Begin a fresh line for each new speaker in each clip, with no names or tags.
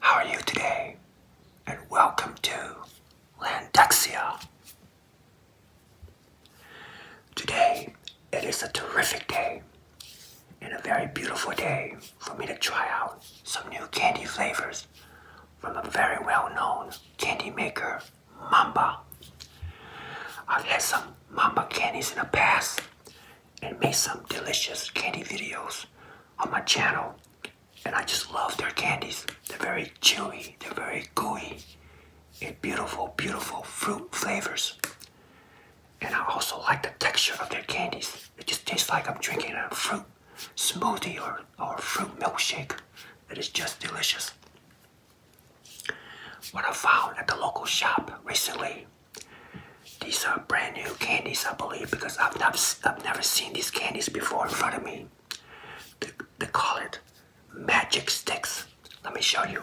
How are you today? And welcome to Landexia. Today, it is a terrific day and a very beautiful day for me to try out some new candy flavors from a very well-known candy maker, Mamba. I've had some Mamba candies in the past and made some delicious candy videos on my channel. And I just love their candies. They're very chewy, they're very gooey, and beautiful, beautiful fruit flavors. And I also like the texture of their candies. It just tastes like I'm drinking a fruit smoothie or, or fruit milkshake. It is just delicious. What I found at the local shop recently, these are brand new candies, I believe, because I've, not, I've never seen these candies before in front of me. they call it magic sticks. Let me show you.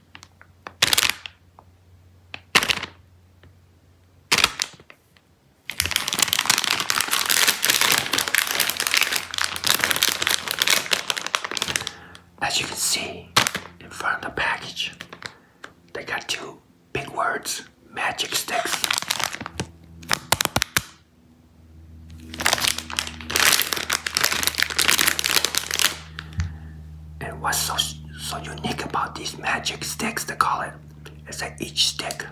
As you can see in front of the package, they got two big words magic sticks. And what's so, so unique about these magic sticks, they call it, is that each stick,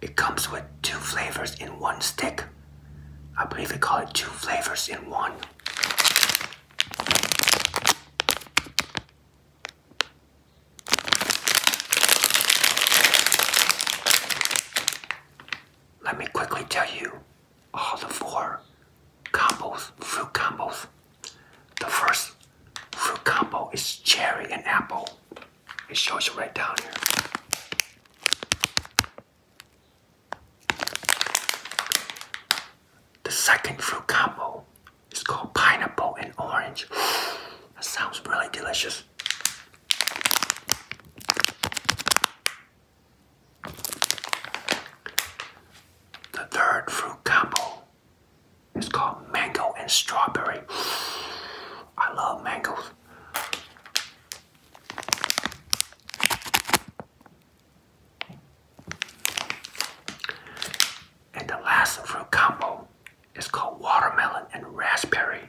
it comes with two flavors in one stick. I believe they call it two flavors in one. Let me quickly tell you all the four combos, fruit combos. The first fruit combo is cherry and apple. It shows you right down here. The second fruit combo is called pineapple and orange. That sounds really delicious. The third fruit combo is called mango and strawberry. I love mangoes. And the last fruit combo is called watermelon and raspberry.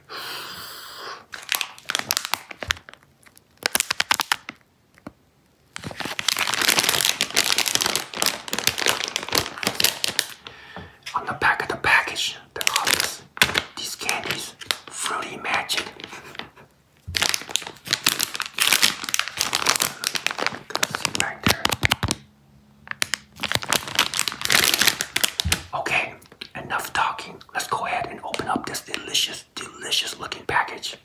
On the back of the package, the obvious, these candies, fruity magic. Okay, enough talking. Let's go ahead and open up this delicious delicious looking package.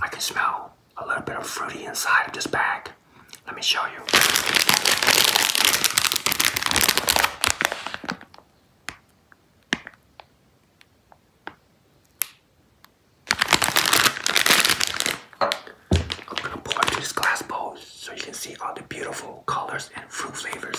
I can smell a little bit of fruity inside of this bag. Let me show you. I'm gonna pour into this glass bowl so you can see all the beautiful colors and fruit flavors.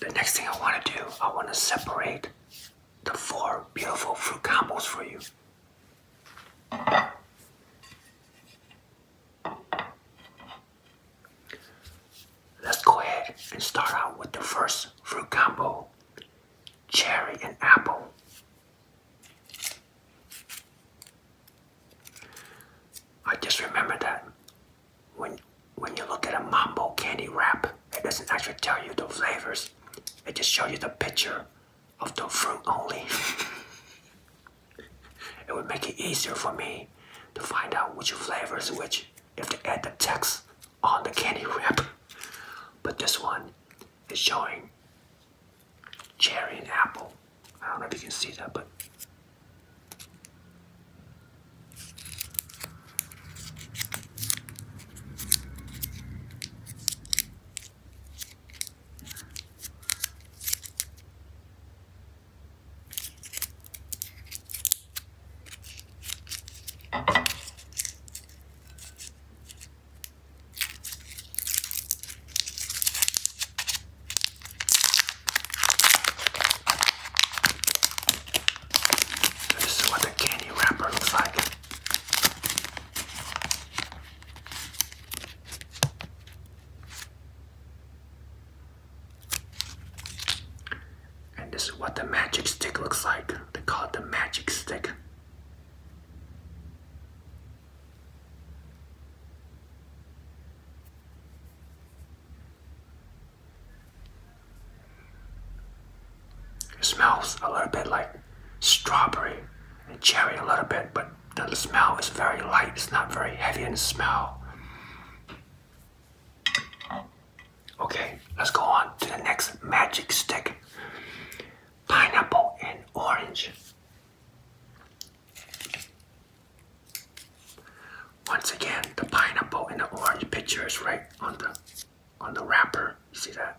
The next thing I want to do, I want to separate the four beautiful fruit combos for you. Let's go ahead and start out with the first fruit combo cherry and apple. I just remember that when when you look at a mambo candy wrap, it doesn't actually tell you the flavors. It just shows you the picture of the fruit only. it would make it easier for me to find out which flavors which have to add the text on the candy wrap. But this one is showing cherry and apple. I don't know if you can see that, but this is what the candy wrapper looks like. And this is what the magic stick looks like. They call it the magic stick. smells a little bit like strawberry and cherry a little bit, but the smell is very light. It's not very heavy in the smell. Okay, let's go on to the next magic stick. Pineapple and orange. Once again, the pineapple and the orange picture is right on the on the wrapper. You see that?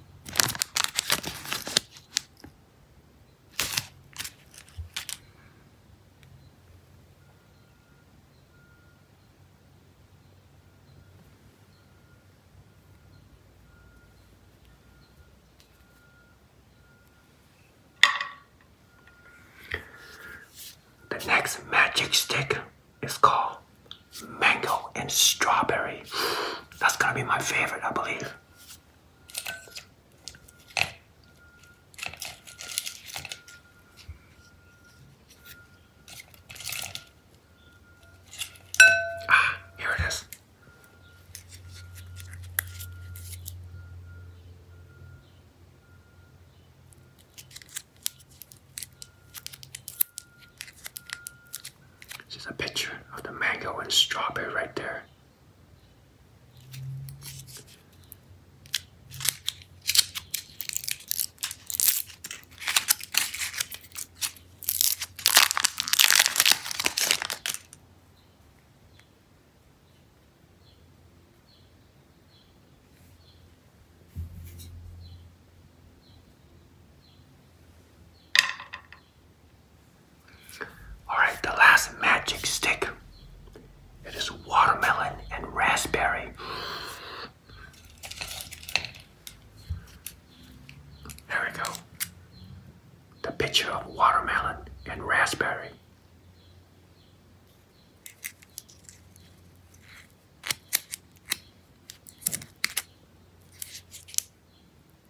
The next magic stick is called mango and strawberry. That's gonna be my favorite, I believe. Ah, here it is. This is a picture of the mango and strawberry right there. Alright, the last magic stick. It is watermelon and raspberry. There we go. The picture of watermelon and raspberry.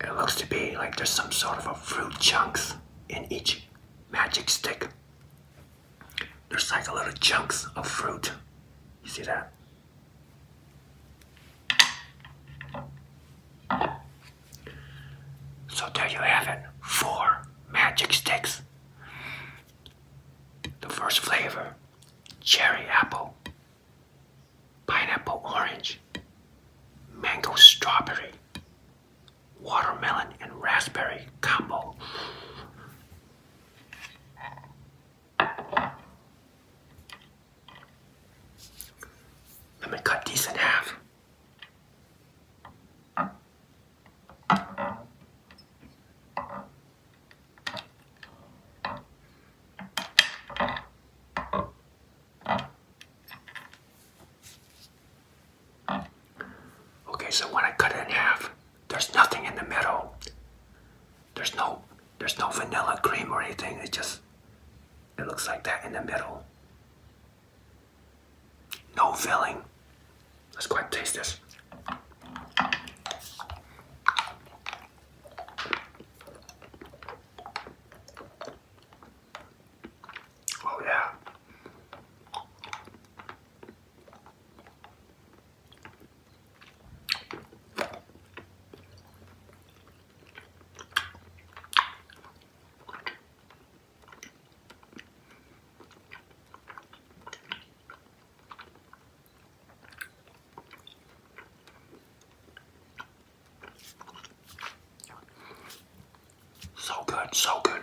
It looks to be like there's some sort of a fruit chunks in each magic stick. There's like a little chunks of fruit. You see that? So there you have it. Four magic sticks. The first flavor cherry apple, pineapple orange, mango strawberry, watermelon and raspberry combo. Let me cut these in half. Okay, so when I cut it in half, there's nothing in the middle. There's no there's no vanilla cream or anything. It just it looks like that in the middle. No filling. Let's go and taste this. Oh yeah. So good, so good.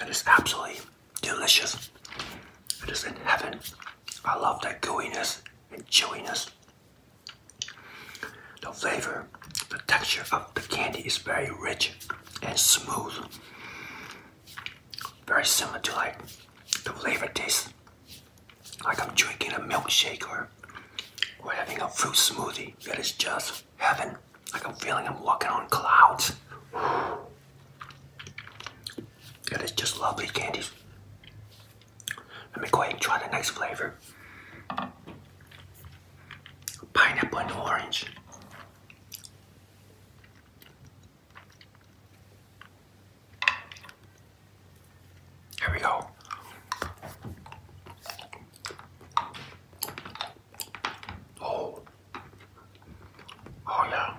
It is absolutely delicious. It is in heaven. I love that gooiness and chewiness. The flavor, the texture of the candy is very rich and smooth. Very similar to like the flavor tastes like I'm drinking a milkshake or or having a fruit smoothie. That is just heaven. Like I'm feeling I'm walking on clouds. That is just lovely candies. Let me go ahead and try the next flavor. Pineapple and orange. Here we go. Oh. Oh yeah.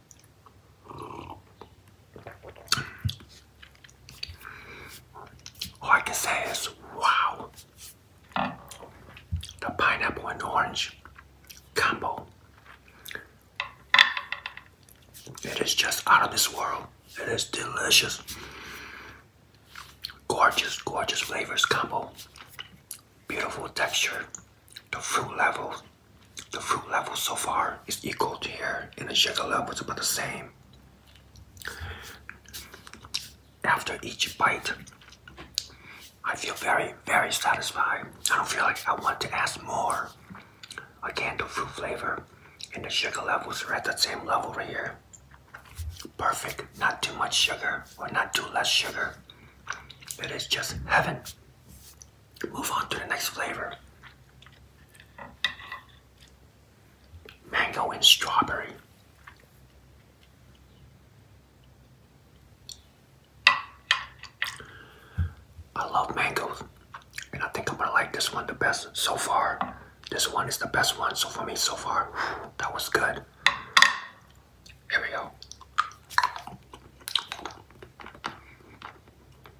I can say is, wow, the pineapple and orange combo. It is just out of this world. It is delicious. Gorgeous, gorgeous flavors combo. Beautiful texture. The fruit level the fruit level so far is equal to here, and the sugar level is about the same. After each bite, I feel very, very satisfied. I don't feel like I want to ask more. Again, the fruit flavor and the sugar levels are at the same level right here. Perfect, not too much sugar or not too less sugar. It is just heaven. Move on to the next flavor. Mango and strawberry. I love mangoes, and I think I'm gonna like this one the best so far. This one is the best one so for me so far. That was good. Here we go.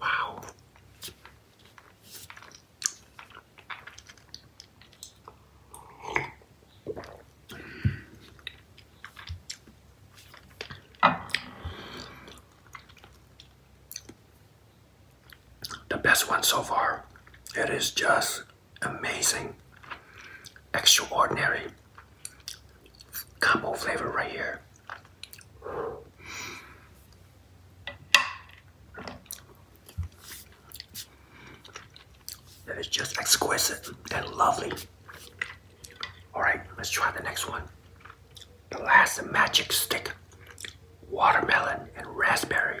Wow. The best one so far. It is just amazing, extraordinary combo flavor right here. That is just exquisite and lovely. Alright, let's try the next one. The last magic stick. Watermelon and raspberry.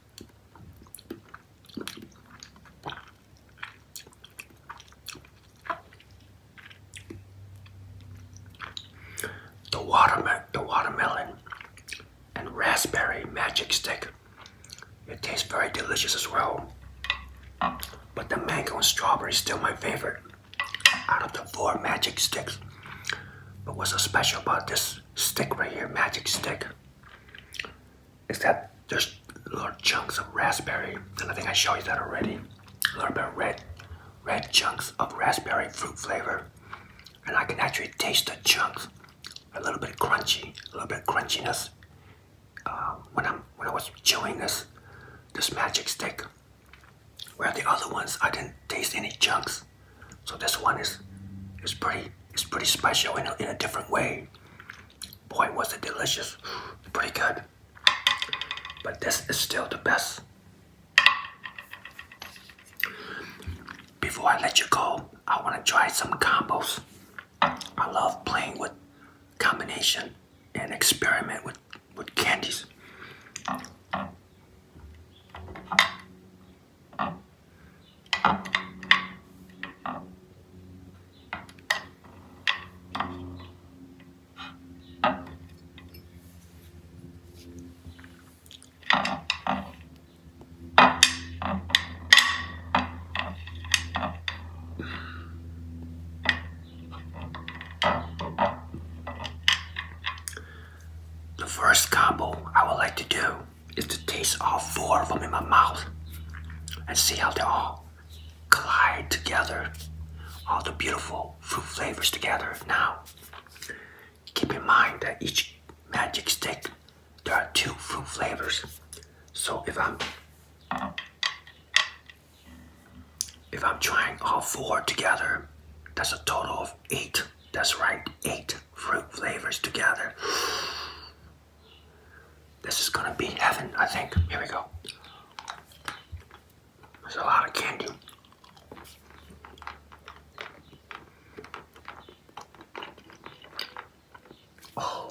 The watermelon, the watermelon and raspberry magic stick. It tastes very delicious as well. But the mango and strawberry is still my favorite out of the four magic sticks. But what's so special about this stick right here, magic stick? is that there's little chunks of raspberry, and I think I showed you that already. A little bit of red, red chunks of raspberry fruit flavor, and I can actually taste the chunks. A little bit crunchy, a little bit crunchiness. Um, when I'm when I was chewing this, this magic stick, where the other ones I didn't taste any chunks. So this one is is pretty is pretty special in a, different way. Boy, was it delicious! Pretty good. But this is still the best. Before I let you go, I want to try some combos. I love playing with combination and experiment with, with candies. The first combo I would like to do is to taste all four from in my mouth and see how they all collide together. All the beautiful fruit flavors together. Now, keep in mind that each magic stick, there are two fruit flavors. So if I'm if I'm trying all four together, that's a total of eight. That's right, eight fruit flavors together. This is gonna be heaven, I think. Here we go. There's a lot of candy. Oh.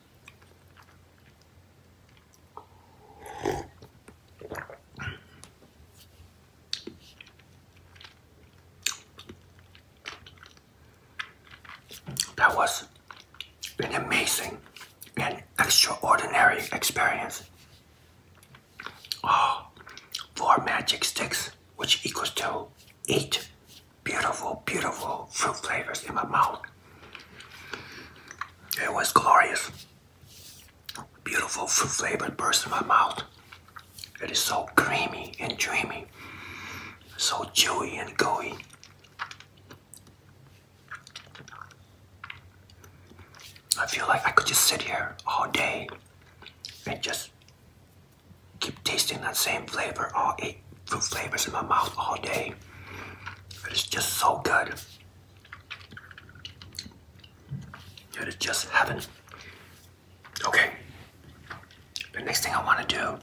That was an amazing and extraordinary experience. Oh, four magic sticks, which equals to eight beautiful, beautiful fruit flavors in my mouth. It was glorious. Beautiful fruit flavor burst in my mouth. It is so creamy and dreamy, so chewy and gooey. I feel like I could just sit here all day and just keep tasting that same flavor, all eight fruit flavors in my mouth all day. It's just so good. It is just heaven. Okay. The next thing I want to do, I'm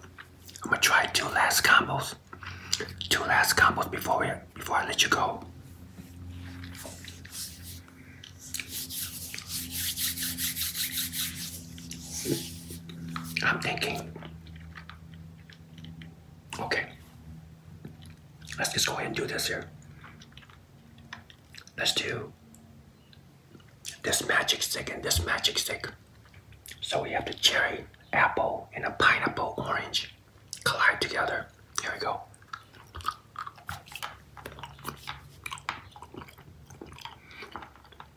gonna try two last combos. Two last combos before we before I let you go. I'm thinking Okay. Let's just go ahead and do this here. Let's do this magic stick and this magic stick. So we have the cherry, apple, and a pineapple orange collide together. Here we go.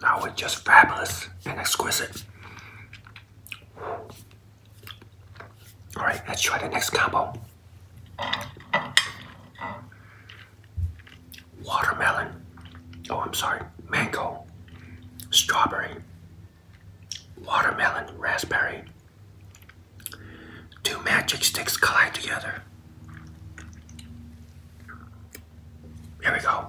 That was just fabulous and exquisite. All right, let's try the next combo. Watermelon. Oh, I'm sorry. Mango. Strawberry. Watermelon. Raspberry. Two magic sticks collide together. Here we go.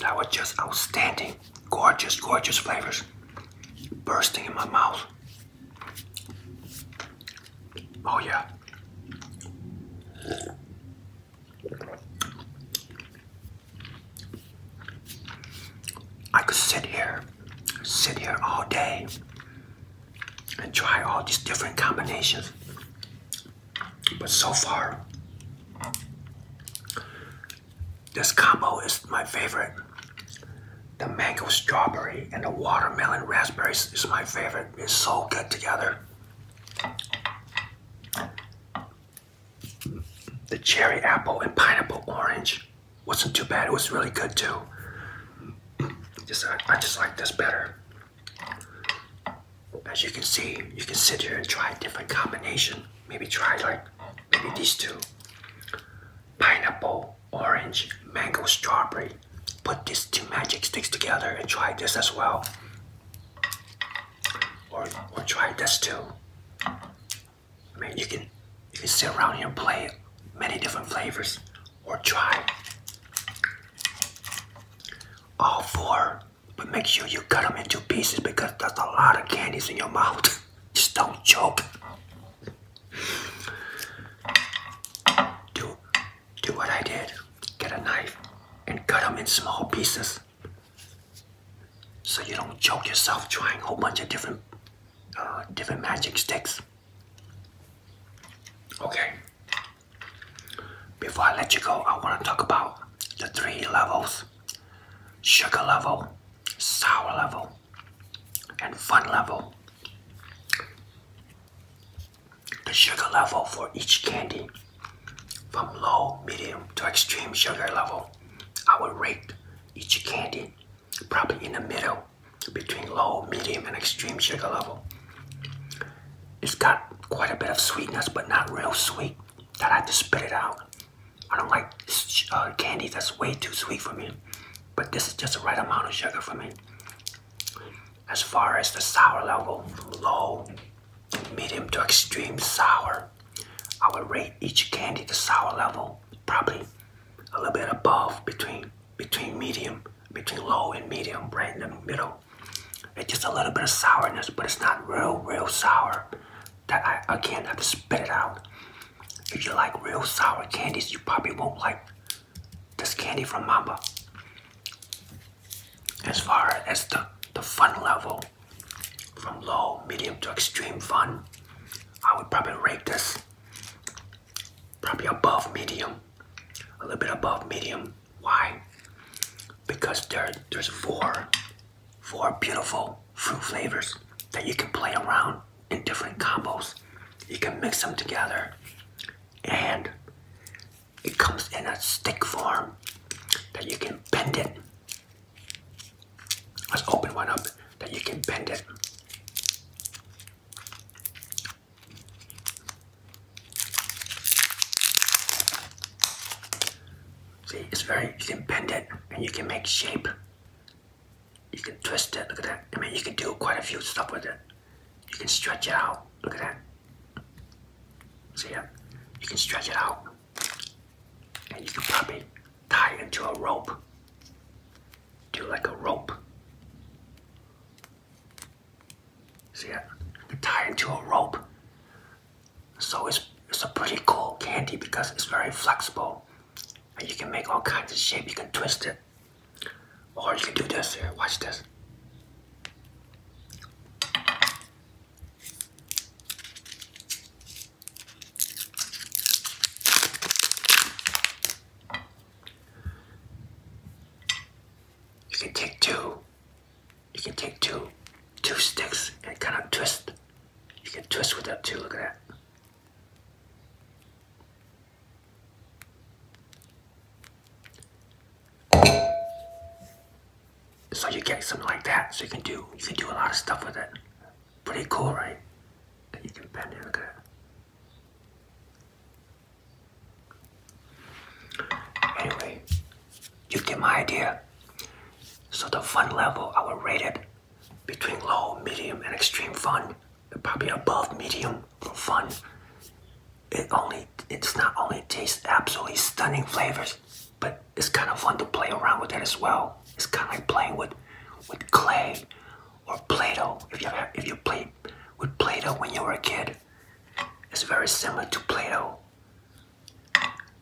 That was just outstanding. Gorgeous, gorgeous flavors bursting in my mouth. Oh, yeah. I could sit here, sit here all day and try all these different combinations. But so far, this combo is my favorite. The mango strawberry and the watermelon raspberry is my favorite. It's so good together. The cherry apple and pineapple orange wasn't too bad. It was really good too. Just I, just like this better. As you can see, you can sit here and try different combination. Maybe try like maybe these two. Pineapple, orange, mango, strawberry. Put these two magic sticks together and try this as well. Or, or try this too. I mean, you can you can sit around here and play many different flavors or try all four, but make sure you cut them into pieces because that's a lot of candies in your mouth. Just don't choke. Do do what I did. Get a knife and cut them in small pieces so you don't choke yourself trying a whole bunch of different uh, different magic sticks. Okay. Before I let you go, I want to talk about the three levels sugar level, sour level, and fun level. The sugar level for each candy from low, medium to extreme sugar level. I will rate each candy probably in the middle between low, medium, and extreme sugar level. It's got quite a bit of sweetness, but not real sweet that I have to spit it out. I don't like uh, candy that's way too sweet for me, but this is just the right amount of sugar for me. As far as the sour level, low, medium to extreme sour, I would rate each candy the sour level probably a little bit above between between medium between low and medium right in the middle it's just a little bit of sourness but it's not real real sour that i can't have to spit it out if you like real sour candies you probably won't like this candy from mamba as far as the the fun level from low medium to extreme fun i would probably rate this probably above medium, a little bit above medium. Why? Because there, there's four, four beautiful fruit flavors that you can play around in different combos. You can mix them together, and it comes in a stick form that you can bend it Let's open one up that you can bend it. See, it's very, you can bend it and you can make shape. You can twist it, look at that. I mean, you can do quite a few stuff with it. You can stretch it out, look at that. See You can stretch it out. And you can it tie into a rope. Do like a rope. See Tie into a rope. So it's, it's a pretty cool candy because it's very flexible. And you can make all kinds of shape. You can twist it. Or you can do this here. Watch this. You can take two. You can take two, two sticks and kind of twist. You can twist with that too. Look at that. So you get something like that. So you can do you can do a lot of stuff with it. Pretty cool, right? you Anyway, you get my idea. So the fun level I would rate it between low, medium, and extreme fun. Probably above medium fun. It only it's not only tastes absolutely stunning flavors, but it's kind of fun to play around with it as well. It's kind of like playing with with clay or Play-Doh. If you if you played with Play-Doh when you were a kid, it's very similar to Play-Doh.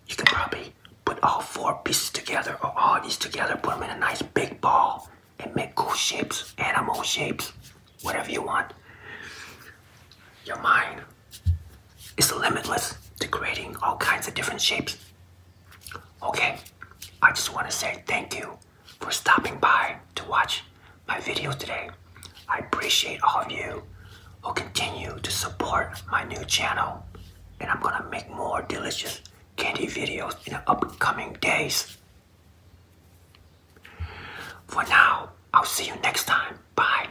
You can probably put all four pieces together or all these together, put them in a nice big ball, and make cool shapes, animal shapes, whatever you want. Your mind is limitless to creating all kinds of different shapes Okay, I just want to say thank you for stopping by to watch my video today. I appreciate all of you who continue to support my new channel, and I'm gonna make more delicious candy videos in the upcoming days. For now, I'll see you next time. Bye.